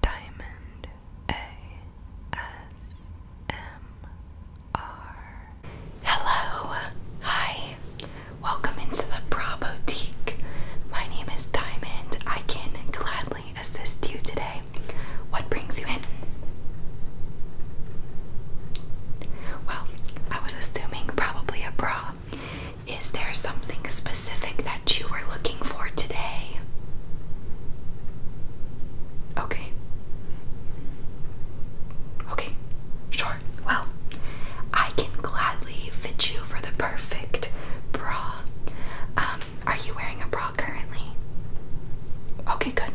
Diamond ASMR. Hello, hi, welcome into the Bra Boutique. My name is Diamond. I can gladly assist you today. What brings you in? Well, I was assuming probably a bra. Is there something specific that that you were looking for today? Okay. Okay, sure. Well, I can gladly fit you for the perfect bra. Um, are you wearing a bra currently? Okay, good.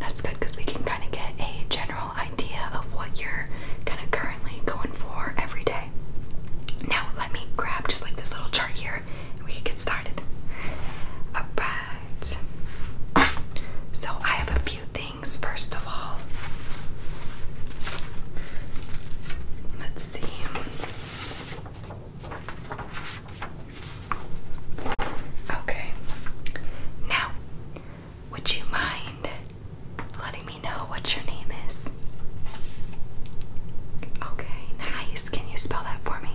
That's good because we can kind of get a general idea of what you're kind of currently going for every day. Now, let me grab just like this little chart here we can get started. Alright. So I have a few things first of all. Let's see. Okay. Now, would you mind letting me know what your name is? Okay, nice. Can you spell that for me?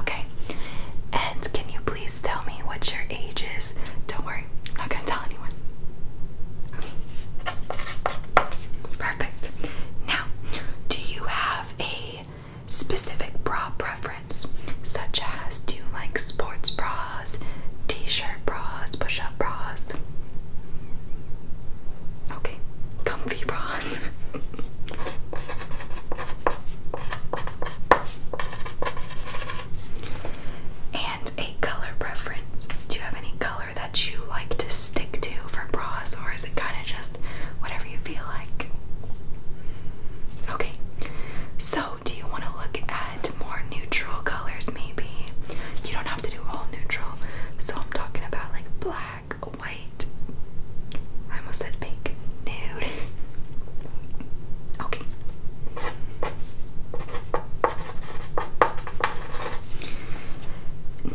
Okay. And can you please tell me what your age is? Don't worry, I'm not going to tell anyone. Perfect. Now, do you have a specific bra preference, such as do you like sports bras? t-shirt bras, push-up bras. Okay, comfy bras. and a color preference. Do you have any color that you like to stick to for bras, or is it kind of just whatever you feel like? Okay, so do you want to look at more neutral colors maybe. You don't have to do all neutral. So I'm talking about like black, white. I almost said pink. Nude. Okay.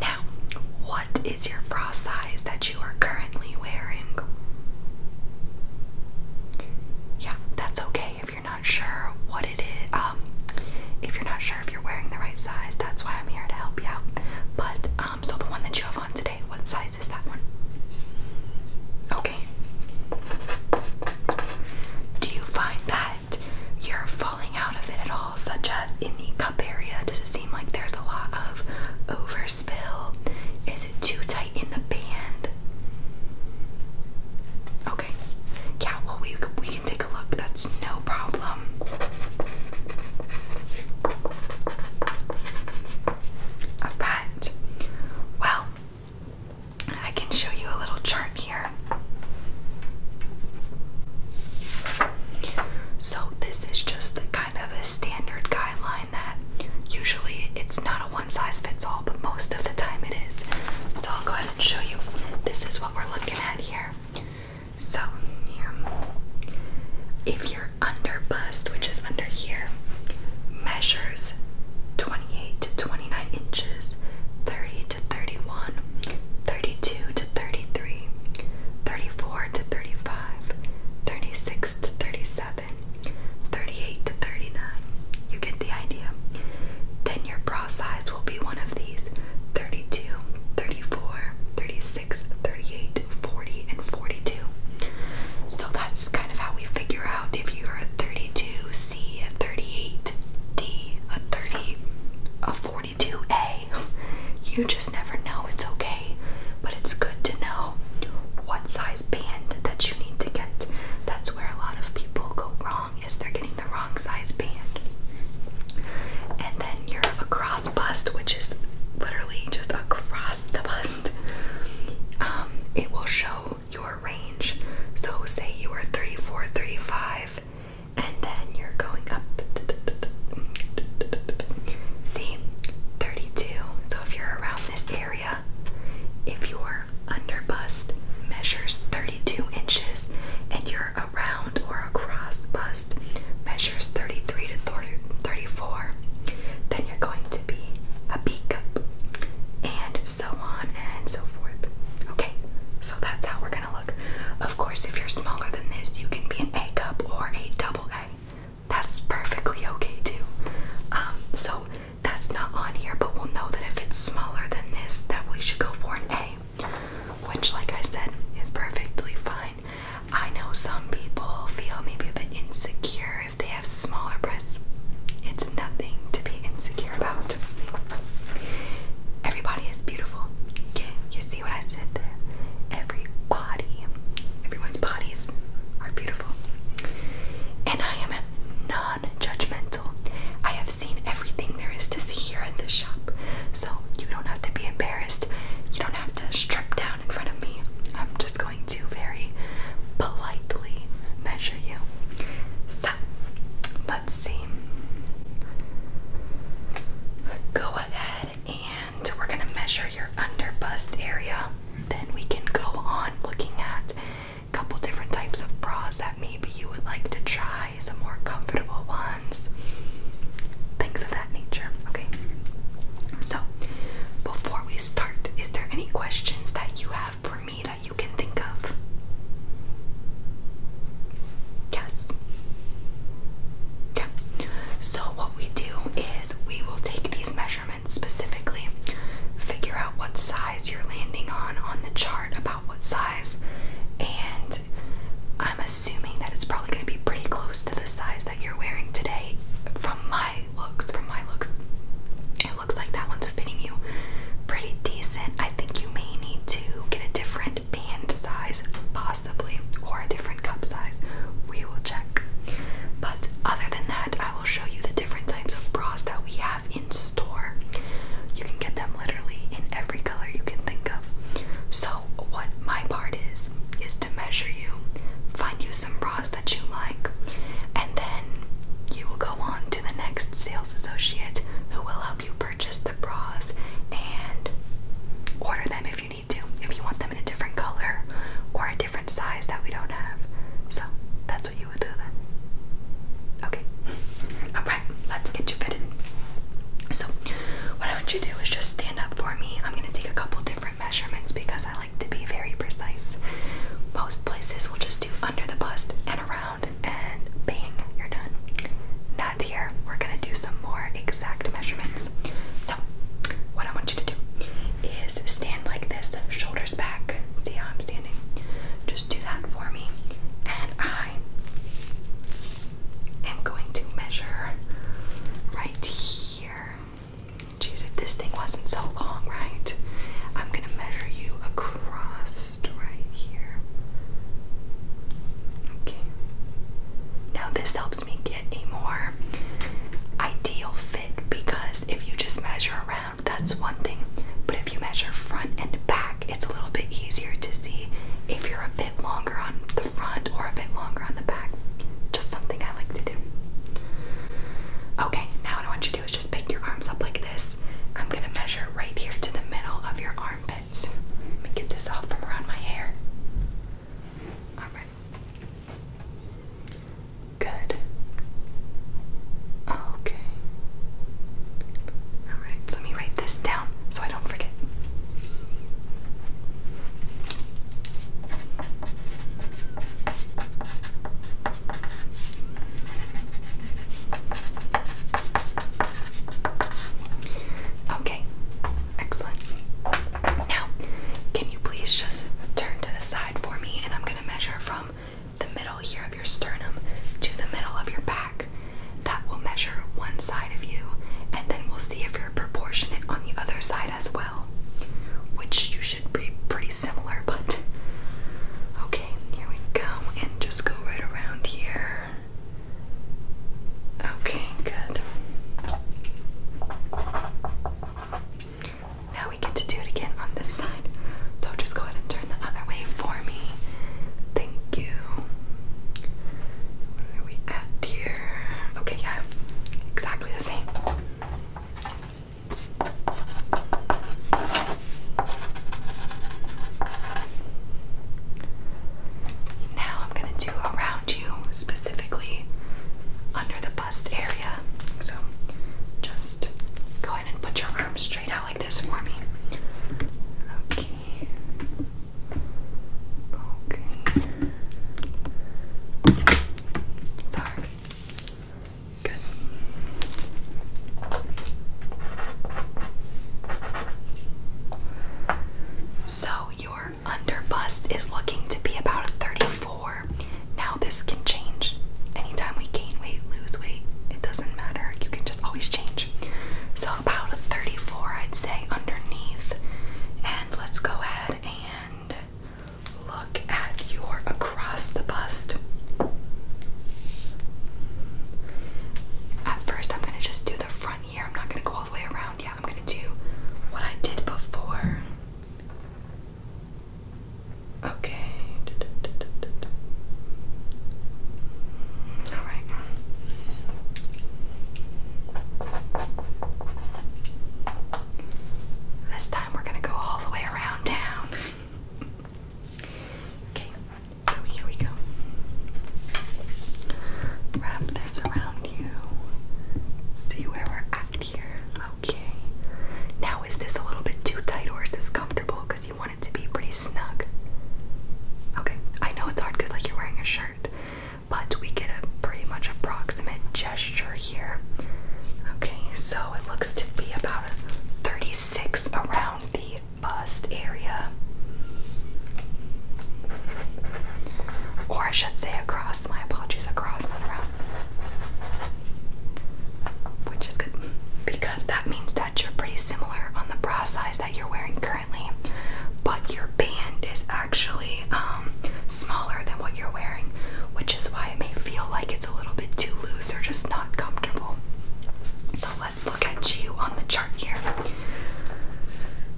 Now, what is your bra size that you are currently wearing? Yeah, that's okay if you're not sure what it is. Um, if you're not sure if you're wearing the right size, that's why I'm here to help you But um, so the one that you have on today, what size is that one? Okay. Do you find that you're falling out of it at all, such as in the cup area? Does it seem like there's a lot of overspill? Is it too tight in the band? Okay. Yeah, well, we, we take a look, that's no problem. Alright, well, I can show you a little chart here. So, this is just kind of a standard guideline that usually it's not a one size fits all, but most of the time it is. So, I'll go ahead and show you. This is what we're looking at here. So, here. If your under bust, which is under here, measures 28 to 29 inches, 30 to 31, 32 to 33, 34 to 35, 36 to 37, 38 to 39, you get the idea. Then your bra size will be one of these 32, 34, 36, 38, 40, and 42. So that's kind of how we figure out if you're a 32, C, a 38, D, a 30, a 42A. You just never know. It's okay. But it's good to know what size band that you need to get. That's where a lot of people go wrong is they're getting the wrong size band. And then your across bust, which is literally just across the bust, um, it will show your range. So, say you are 34, 35, and then you're going up. See, 32. So, if you're around this area, if you are under bust measures 32 inches, and your around or across bust measures 33 to 30, 34, then you're going to be a B cup, and so on and so forth. Okay, so that's how we're gonna look. Of course, if you're smaller than this, you can be an A cup or a double A. That's perfectly okay too. Um, so that's not on here, but we'll know that if it's smaller than this, that we should go for an A which, like I said, is perfectly fine. I know some people feel maybe a bit insecure if they have smaller breasts. It's nothing to be insecure about. Everybody is beautiful. you see what I said there? Every everyone's bodies are beautiful. And I am not non I have seen everything there is to see here at this shop, so you don't have to be embarrassed. You don't have to strip down in front of me. I'm just going to very politely measure you. So, let's see. Go ahead and we're going to measure your under bust area. Then we can go on looking at couple different types of bras that maybe you would like to try, some more comfortable ones, things of that nature. Okay. So, before we start, is there any questions that you have for me that you can think of? Yes. Yeah. So, what we do is we will take these measurements specifically, figure out what size you're landing on on the chart about what size, and I'm assuming that it's probably going to be pretty close to the size that you're wearing today. From my looks, from my looks, it looks like that one's fitting you pretty decent. I think you may need to get a different band size, possibly, or a different cup size. We will check. But other than that, I will show you the different types of bras that we have in store. You can get them literally in every color you can think of. So, what my part is, is to measure you, find you some bras that you like, and then you will go on to the next sales associate who will help you purchase the bras and order them if you need to, if you want them in a different color or a different size that we don't have. So, that's what you would do then. Okay. let's get you fitted. So, what I want you to do is just stand up for me. I'm going to take a couple different measurements because I like to be very precise. Most places will just do under the bust and around, and bang, you're done. Not here. We're going to do some more exact measurements. So, what I want you to do is stand like this, shoulders back. See how I'm standing? Just do that for me. And I am going to measure right here. Jeez, if this thing wasn't so long, right? I'm going to measure you across right here. Okay. Now, this helps me get a more ideal fit because if you just measure around, that's one thing. But if you measure front and back, it's a little bit easier to see if you're a bit longer on the front or a bit longer on the back. Just something I like to do. Okay, now what I want you to do is just pick your arms up like this. I'm gonna measure right here to the middle of your armpits. Let me get this off from around my hair. Alright. Good. Okay. Alright, so let me write this down so I don't forget. Okay, excellent. Now, can you please just turn to the side for me and I'm going to measure from the middle here of your sternum to the middle of your back. That will measure one side of you, and then we'll see if you're proportionate on the other side as well. Which you should be pretty similar, but okay, here we go, and just go right around here. Okay, good. Now we get to do it again on this side. So just go ahead and the other way for me. Thank you. Where we at here? Okay, yeah, exactly the same. Now I'm gonna do around you, specifically under the bust area. So just go ahead and put your arm straight out like this for me. Okay. Okay. Sorry. Good. So your under bust is looking to be about a 34. Now this can change. Anytime we gain weight, lose weight, it doesn't matter. You can just always change. So about a 34, I'd say, underneath. And let's go ahead and look at your across the bust. At first, I'm going to just do the front here. I'm not going to go all the way around yet. I'm going to do what I did before. Okay. All right. This time we're going to go all the way around town. okay, so here we go. Wrap this around you. See where we're at here. Okay. Now, is this a little bit too tight or is this comfortable? Because you want it to be pretty snug. Okay, I know it's hard because like you're wearing a shirt, but we get a pretty much approximate gesture here. Okay, so it looks to be about a 36 around the bust area. Or I should say across, my apologies, across, not around. Which is good because that means that you're pretty similar on the bra size you're wearing currently, but your band is actually um, smaller than what you're wearing, which is why it may feel like it's a little bit too loose or just not comfortable. So let's look at you on the chart here.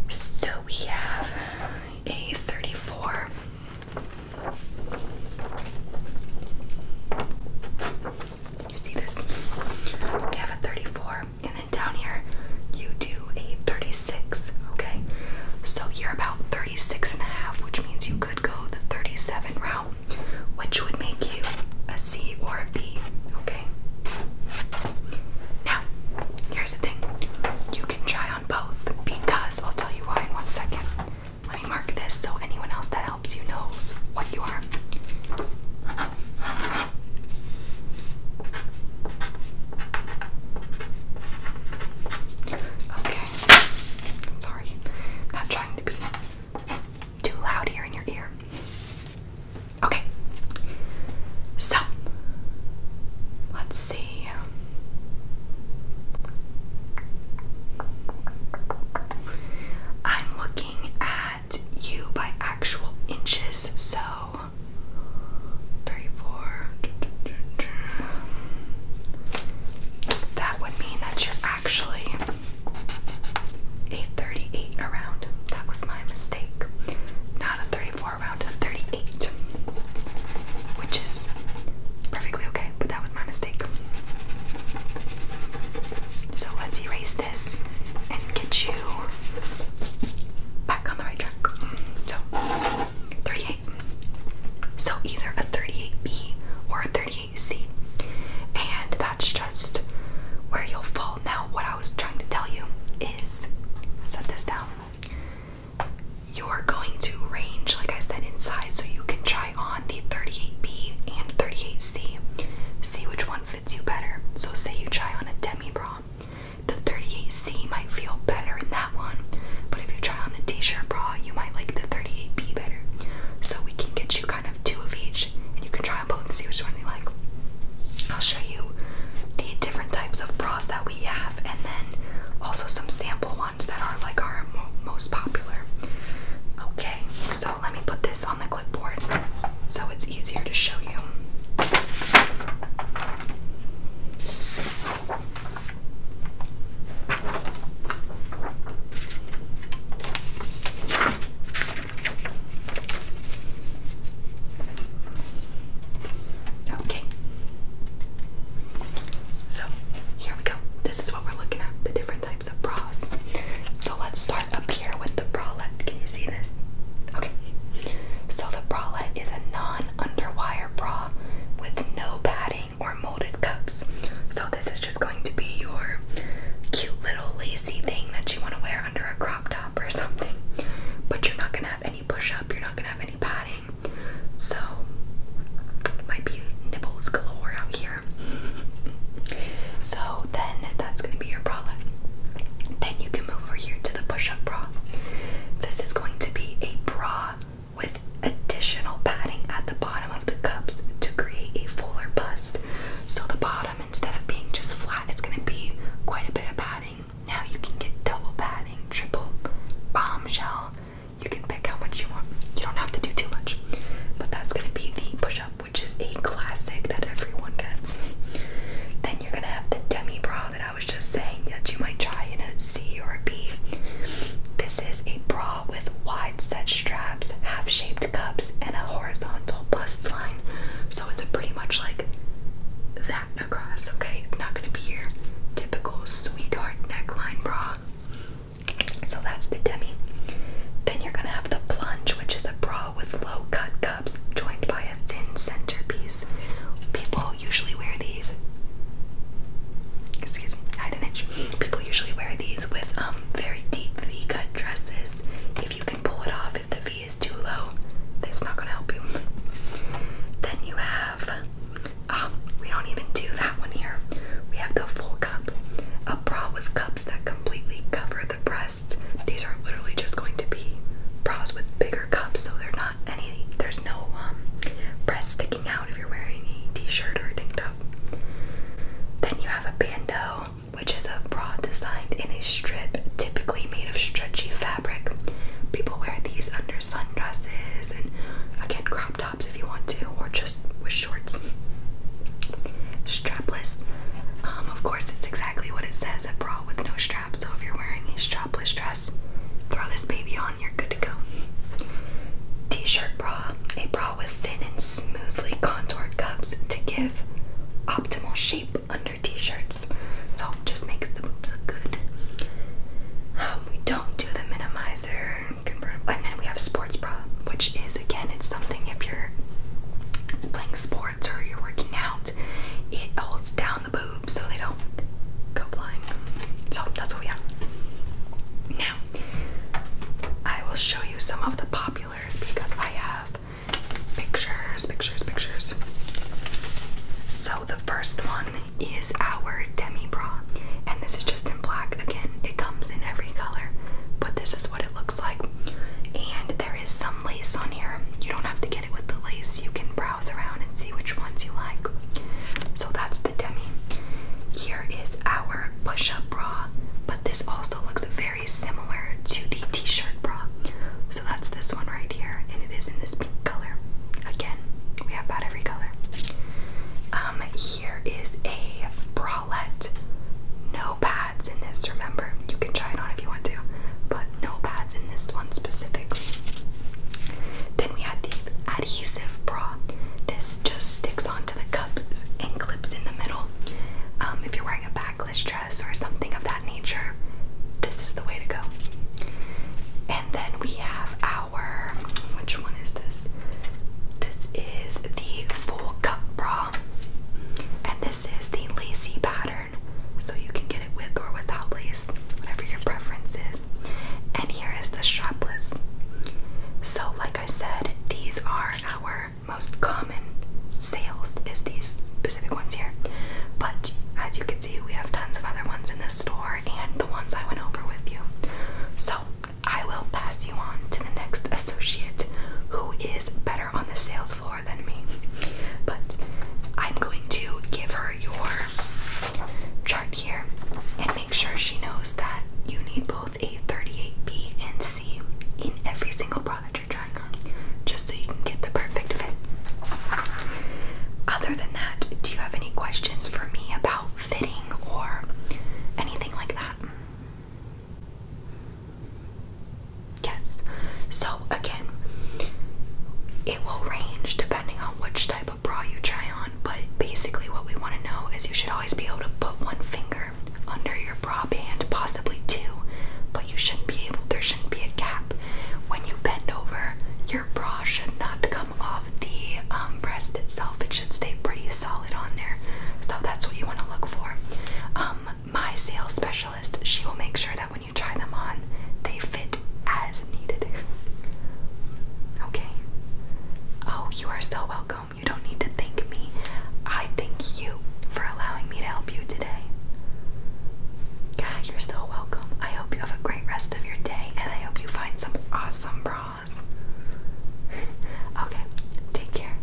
So we have a 34. You see this? We have a 34, and then down here you do a 36, okay? So you're about 36 and a half, which means you could go the 37 route, which would make you a C or a B, okay? Now, here's the thing. You can try on both because I'll tell you why in one second. Let me mark this so anyone else that helps you knows what you are. Okay. Sorry. Not trying to be too loud here in your ear. Okay. So, let's see. I'm looking at you by actual inches, so 34. That would mean that you're actually a 38 around. That was my mistake. Not a 34 around, a 38. Which is perfectly okay, but that was my mistake. So let's erase and get you back on the right track. So 38. So either a 38B or a 38C. And that's just where you'll fall. Now, what I was trying to tell you is set this down. You're going to range, like I said, in size, so you can try on the 38B and 38C. See which one fits you better. So say you try on a demi bra, the 38C might feel better in that one, but if you try on the t-shirt bra, you might like the 38B better. So we can get you kind of two of each, and you can try on both and see which one you like. I'll show you the different types of bras that we have, and then also some sample ones that are like our most popular. Okay, so so let me put this on the clipboard so it's easier to show you. Okay. So here we go. This is what we're looking at the different types of bras. So let's start up here with the bralette. Can you see this? Okay. So the bralette is a non-underwire bra with no padding or molded cups. So this is just going to be your cute little lacy thing that you want to wear under a crop top or something. But you're not gonna have any push-up, you're not gonna have any padding. So might be nipples galore out here. so then that's going to be your bralette. Then you can move over here to the push-up bra. This is going to be a bra with additional padding at the bottom of the cups to create a fuller bust. So the bottom, instead of being just flat, it's going to be quite a bit of padding. Now you can get double padding, triple, bombshell. You can pick how much you want. You don't have to do too much. But that's going to be the push-up which is a classic that everyone gets. Then you're gonna have the demi bra that I was just saying that you might try in a C or a B. This is a bra with wide set straps, half shaped cups, and a horizontal bust line. So it's a pretty much like that across, okay? It's not gonna be your typical sweetheart neckline bra. So that's the demi. Then you're gonna have the plunge, which is a a bra with low cut cups joined by a thin centerpiece. People usually wear these. Excuse me, I had an itch. People usually wear these with um, very deep V cut dresses. If you can pull it off, if the V is too low, that's not gonna help you. Then you have um, we don't even do that one here. We have the full cup. A bra with cups that completely cover the breast these are literally just going to be bras with bigger cups, so they not any. There's no um, breast sticking out if you're wearing a t-shirt or a tank top. Then you have a bandeau, which is a bra designed in a strip, typically made of stretchy fabric. People wear these under sundresses and again crop tops if you want to, or just with shorts strapless. Um, of course, it's exactly what it says, a bra with no straps. So if you're wearing a strapless dress, throw this baby on, you're good to go. T-shirt bra, a bra with thin and smoothly contoured cups to give optimal shape under t-shirts. So it just makes the boobs look good. Um, we don't do the minimizer convertible, and then we have sports bra, which is again, it's something if you're playing sports or you're working out, it holds down the boobs so they don't go flying. So that's what we have. Now, I will show you some of the populars because I have pictures, pictures, pictures. So the first one is our demi bra, and this is just in black. Again, it comes in every color, but this is what it looks like. And there is some lace on here. You don't have to get it with the lace. You can browse around and see which ones you like. So that's the demi. Here is our push-up bra, but this also looks very similar to the t-shirt bra. So that's this one right here, and it is in this pink color. Again, we have about every color. Um, here is a bralette, no back pads in this, remember? You can try it on if you want to, but no pads in this one specifically. Then we had the adhesive bra. This just sticks onto the cups and clips in the middle. Um, if you're wearing a backless dress or something of that nature, this is the way to go. And then we have our, which one is this? This is the full cup bra. And this is the lacy pattern, so you can get it with or without lace, whatever your preference is. And here is the strapless. So, like I said, these are our most common sales is these specific ones here. But as you can see, we have tons of other ones in this store and the ones I went over with you. So, I will pass you on to the next associate who is better on the sales floor than me. But I'm going to give her your chart here and make sure she knows that you need both a 38B and C in every single bra that you're trying on, just so you can get the perfect fit. Other than that, do you have any questions for me about fitting or anything like that? Yes. So again, it will range depending on which type of bra you try on, but basically what we want to know is you should always be able to put one finger under your bra band, possibly two, but you shouldn't be able there shouldn't be a gap. When you bend over, your bra should not come off the um, breast itself. It should stay pretty solid on there. So that's what you want to look for. Um, my sales specialist, she will make sure that when you try them on, they fit as needed. okay. Oh, you are so welcome. You don't need to thank me. I thank you for allowing me to help you today. God, you're so welcome. I hope you have a great rest of your day and I hope you find some awesome bras. okay, take care.